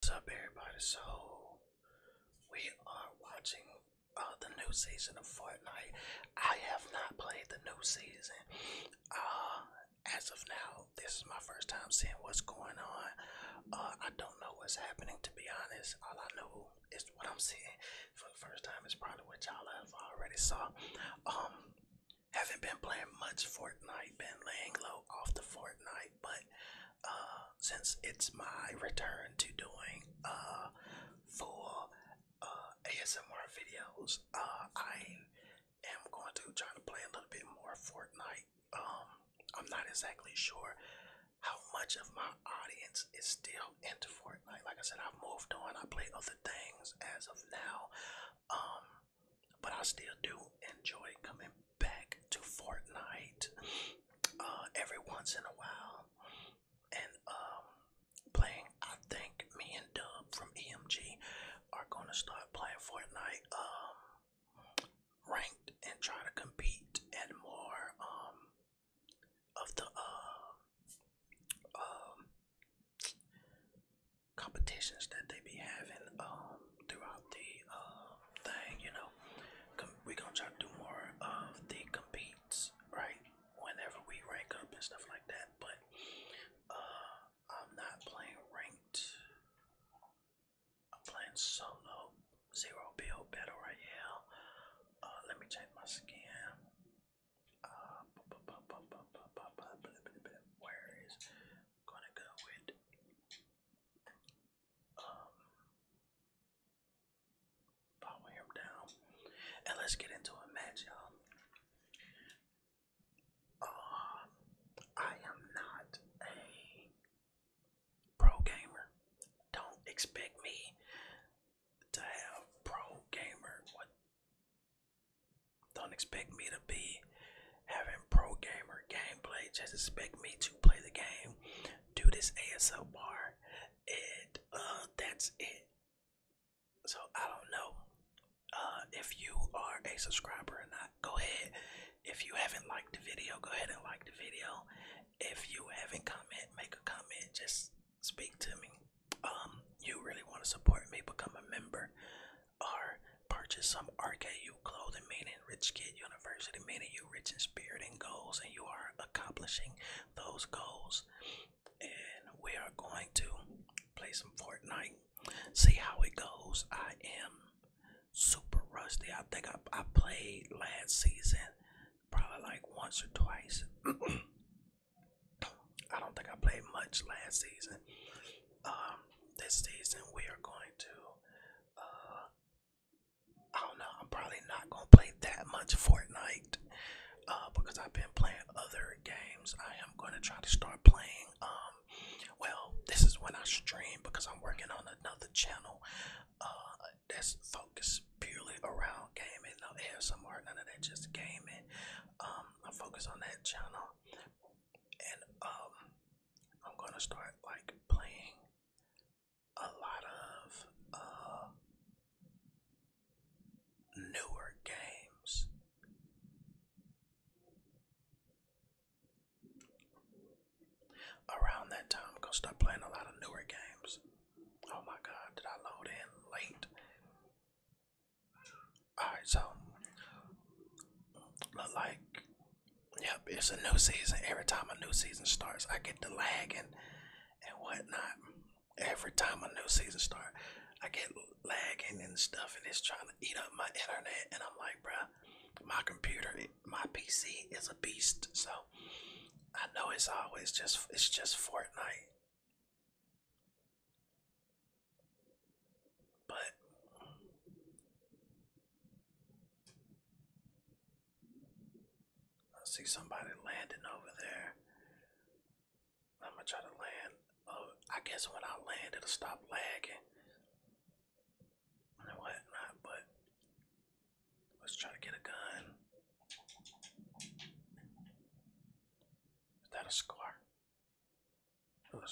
What's up, everybody? So, we are watching uh, the new season of Fortnite. I have not played the new season. Uh, as of now, this is my first time seeing what's going on. Uh, I don't know what's happening, to be honest. All I know is what I'm seeing for the first time. It's probably what y'all have already saw. Um, haven't been playing much Fortnite. Been laying low off the Fortnite but uh, since it's my return to doing uh full uh, asmr videos uh, i am going to try to play a little bit more fortnite um, i'm not exactly sure how much of my audience is still into fortnite like i said i've moved on i play other things as of now um, but i still do enjoy coming back to Fortnite uh, every once in a while, and um, playing. I think me and Dub from EMG are gonna start playing Fortnite um, ranked and try to compete and more um, of the uh, um, competitions that they be having. Um, throughout the uh, thing, you know. we're gonna try to do more of the competes, right? Whenever we rank up and stuff like that, but uh, I'm not playing ranked. I'm playing solo, zero build battle royale. Uh, let me change my skin. Uh, where is gonna go with um, power down, and let's get into a match, y'all. Uh, I am not a pro gamer. Don't expect me to have pro gamer. What? Don't expect me to be having pro gamer gameplay just expect me to play the game, do this ASL bar, and uh, that's it. So I don't know uh, if you are a subscriber or not. Go ahead. If you haven't liked the video, go ahead and like the video. If you haven't comment, make a comment. Just speak to me. Um, you really want to support me, become a member, or Purchase some RKU clothing, meaning Rich Kid University, meaning you rich in spirit and goals, and you are accomplishing those goals. And we are going to play some Fortnite, see how it goes. I am super rusty. I think I, I played last season probably like once or twice. I don't think I played much last season. Um, this season we are going to uh, I don't know. I'm probably not gonna play that much Fortnite uh, because I've been playing other games. I am gonna try to start playing. Um, well, this is when I stream because I'm working on another channel uh, that's focused purely around gaming. No ASMR, none of that, just gaming. Um, I focus on that channel, and um, I'm gonna start like playing a lot of uh, newer games. Around that time, I'm gonna start playing a lot of newer games. Oh my god, did I load in late? Alright, so, like Yep, it's a new season. Every time a new season starts, I get the lagging and whatnot. Every time a new season starts, I get lagging and stuff, and it's trying to eat up my internet. And I'm like, bruh, my computer, my PC is a beast. So I know it's always just it's just Fortnite. But I see somebody landing over there. I'm gonna try to land. Oh, I guess when I land, it'll stop lagging. And whatnot, but let's try to get a gun. Is that a score? Oh, a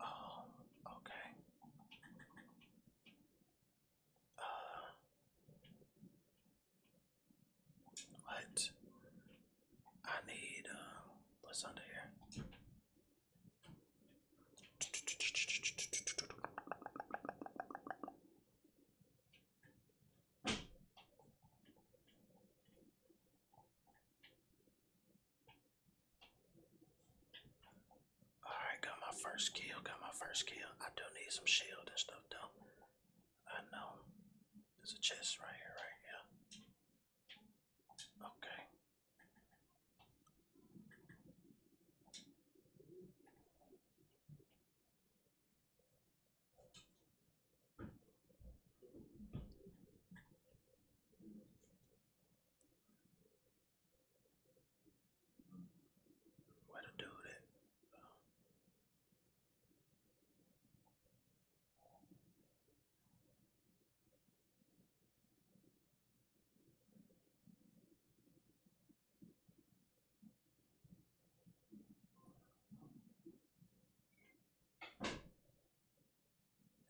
Oh, okay. Uh, what? I need um what's under here? Alright, got my first kill, got my first kill. I do need some shield and stuff though. I know. There's a chest right here, right here. Okay. Way to do it.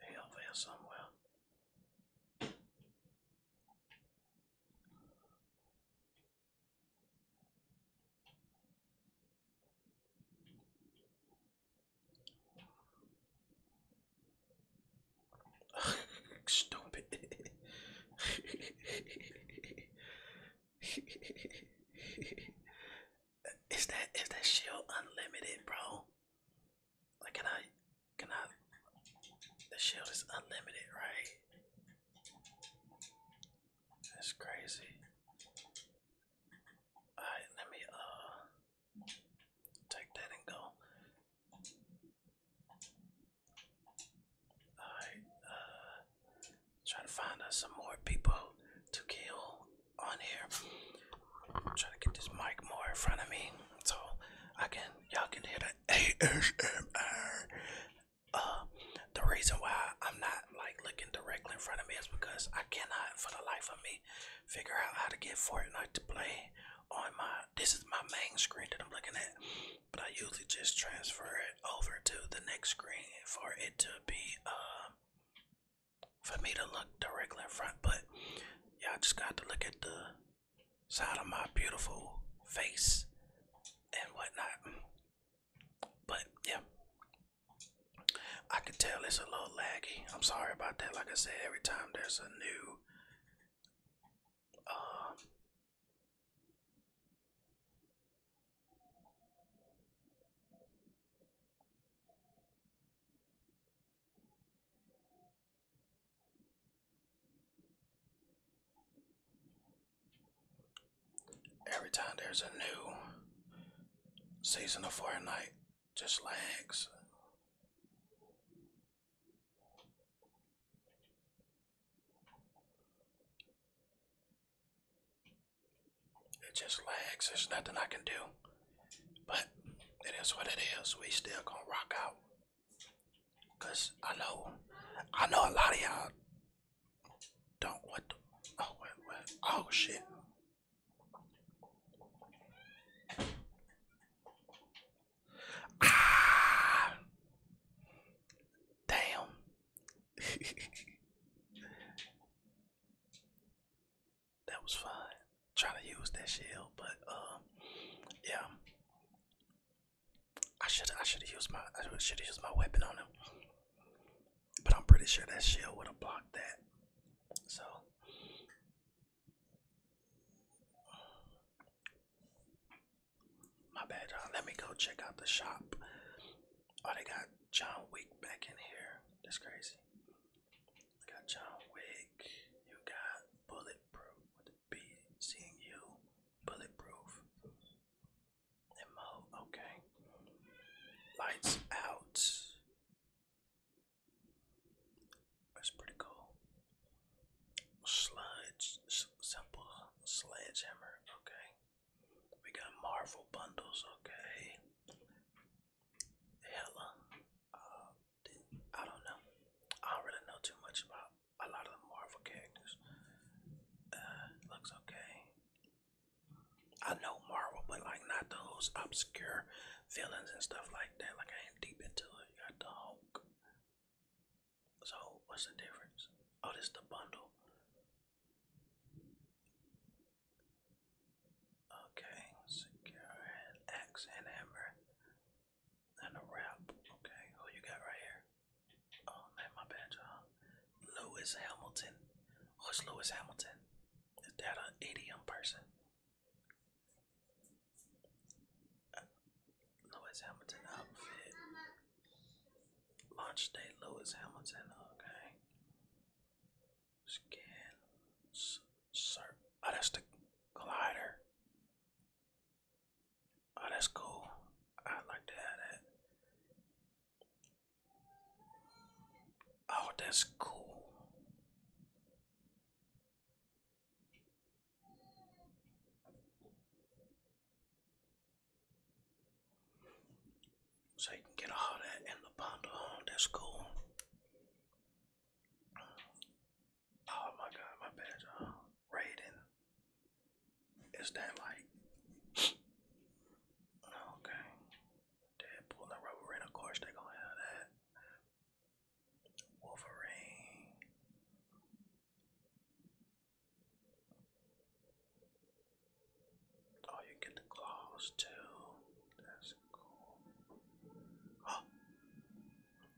Hey, over here somewhere. Stupid. is that is that shield unlimited, bro? Like can I can I the shield is unlimited, right? That's crazy. Alright, let me uh take that and go. Alright, uh trying to find us some more people to kill on here. I'm trying to get this mic more in front of me so I can y'all can hear the ASMR. Uh the reason why I'm not like looking directly in front of me is because I cannot for the life of me figure out how to get Fortnite to play on my this is my main screen that I'm looking at but I usually just transfer it over to the next screen for it to be uh for me to look directly in front but y'all just got to look at the side of my beautiful face and whatnot but yeah I can tell it's a little laggy. I'm sorry about that. Like I said, every time there's a new uh, Every time there's a new Season of Fortnite just lags. It just lags. There's nothing I can do. But it is what it is. We still gonna rock out. Cause I know I know a lot of y'all don't what the, oh oh shit. Ah, damn. that was fun. Trying to use that shield, but um, yeah. I should I should have used my I should have used my weapon on him. But I'm pretty sure that shield would have blocked that. So my bad, Let me go check out the shop. Oh, they got John Wick back in here. That's crazy. got John Wick. You got Bulletproof with Seeing you. Bulletproof. Okay. Lights out. That's pretty cool. Sludge, simple sledgehammer. Okay, we got Marvel bundles. Okay, hella. Uh, I don't know. I don't really know too much about a lot of Marvel characters. Uh, looks okay. I know Marvel, but like not those obscure villains and stuff like that. Like I ain't deep into it. You got the Hulk. So what's the difference? Oh, this the bundle. Okay, secure and hammer and a wrap. Okay, who you got right here? Oh man, my bad, you Lewis Hamilton. Who's oh, Lewis Hamilton? Is that an idiom person? Uh, Lewis Hamilton outfit. Launch day Lewis Hamilton, okay. Scan sir oh that's the glider. Oh that's cool. I like to have that. Oh, that's cool. So you can get all in the bundle. that's cool. Oh my god, my bad, uh, Raiden. Is that like okay? Deadpool pulling the rubber in, of course they're gonna have that. Wolverine. Oh, you get the claws too. That's cool. Oh,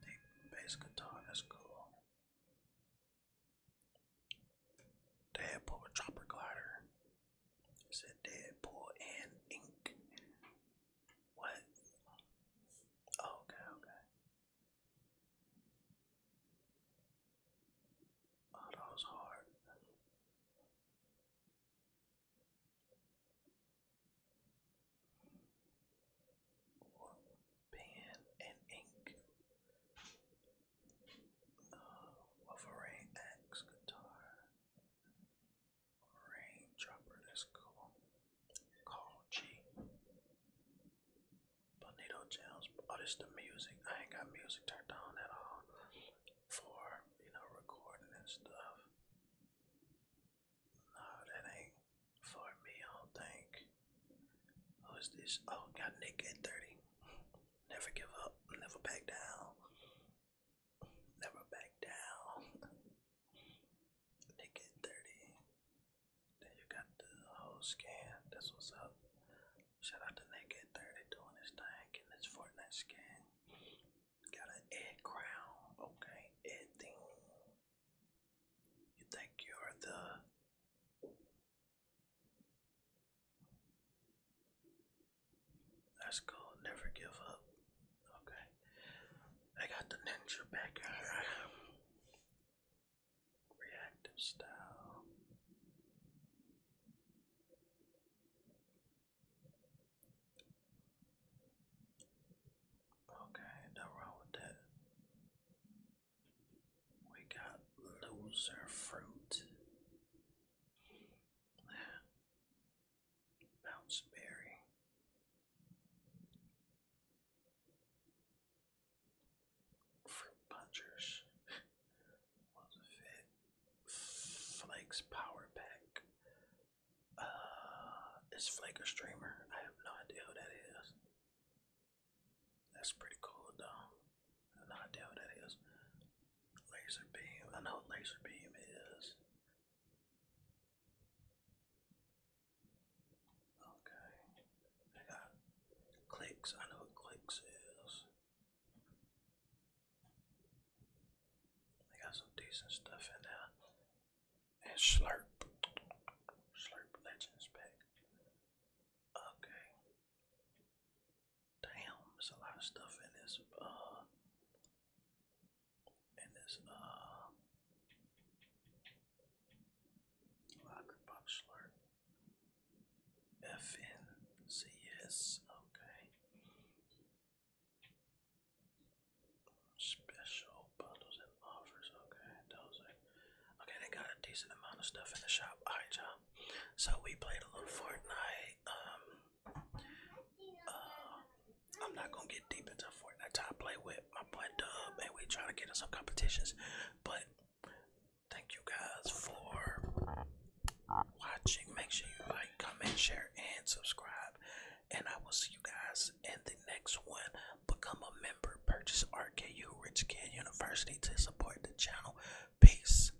the bass guitar. That's cool. Deadpool with chopper glider. Said Deadpool and Ink. What? Oh, okay, okay. Oh, that was hard. Pen and ink. Uh, Wolverine axe guitar. Raindropper, that's cool. Call G. Bonito Jones. Oh, this the music. I ain't got music turned on at all for, you know, recording and stuff. No, that ain't for me, I don't think. Who oh, is this? Oh, got Nick at 30. Never give up, never back down. Never back down. they 30. Then you got the whole scan. That's what's up. Shout out to Naked 30 doing this thing, getting this Fortnite skin. Got an Ed crown, okay? Ed thing. You think you're the that's cool. Never give up. Okay. I got the ninja back in Reactive style. Okay, no wrong with that. We got loser fruit. Bounce berry. Fruit punchers. What's Flakes power pack. Uh, is Flake streamer? I have no idea who that is. That's pretty cool though not idea what that is. Laser beam. I know what laser beam is. Okay. I got clicks. I know what clicks is. They got some decent stuff in there. And slurp. Slurp legends pack. Okay. Damn, there's a lot of stuff in this uh in this uh locker box slurp. FNCS, okay. Special bundles and offers, okay. Those are okay. They got a decent amount of stuff in the shop. Alright, you So we played a little Fortnite. Um, uh, I'm not gonna get deep into Fortnite. I play with my boy Dub, and we try to get in some competitions. But thank you guys for watching. Make sure you like, comment, share, and subscribe. And I will see you guys in the next one. Become a member. Purchase RKU Rich Kid University to support the channel. Peace.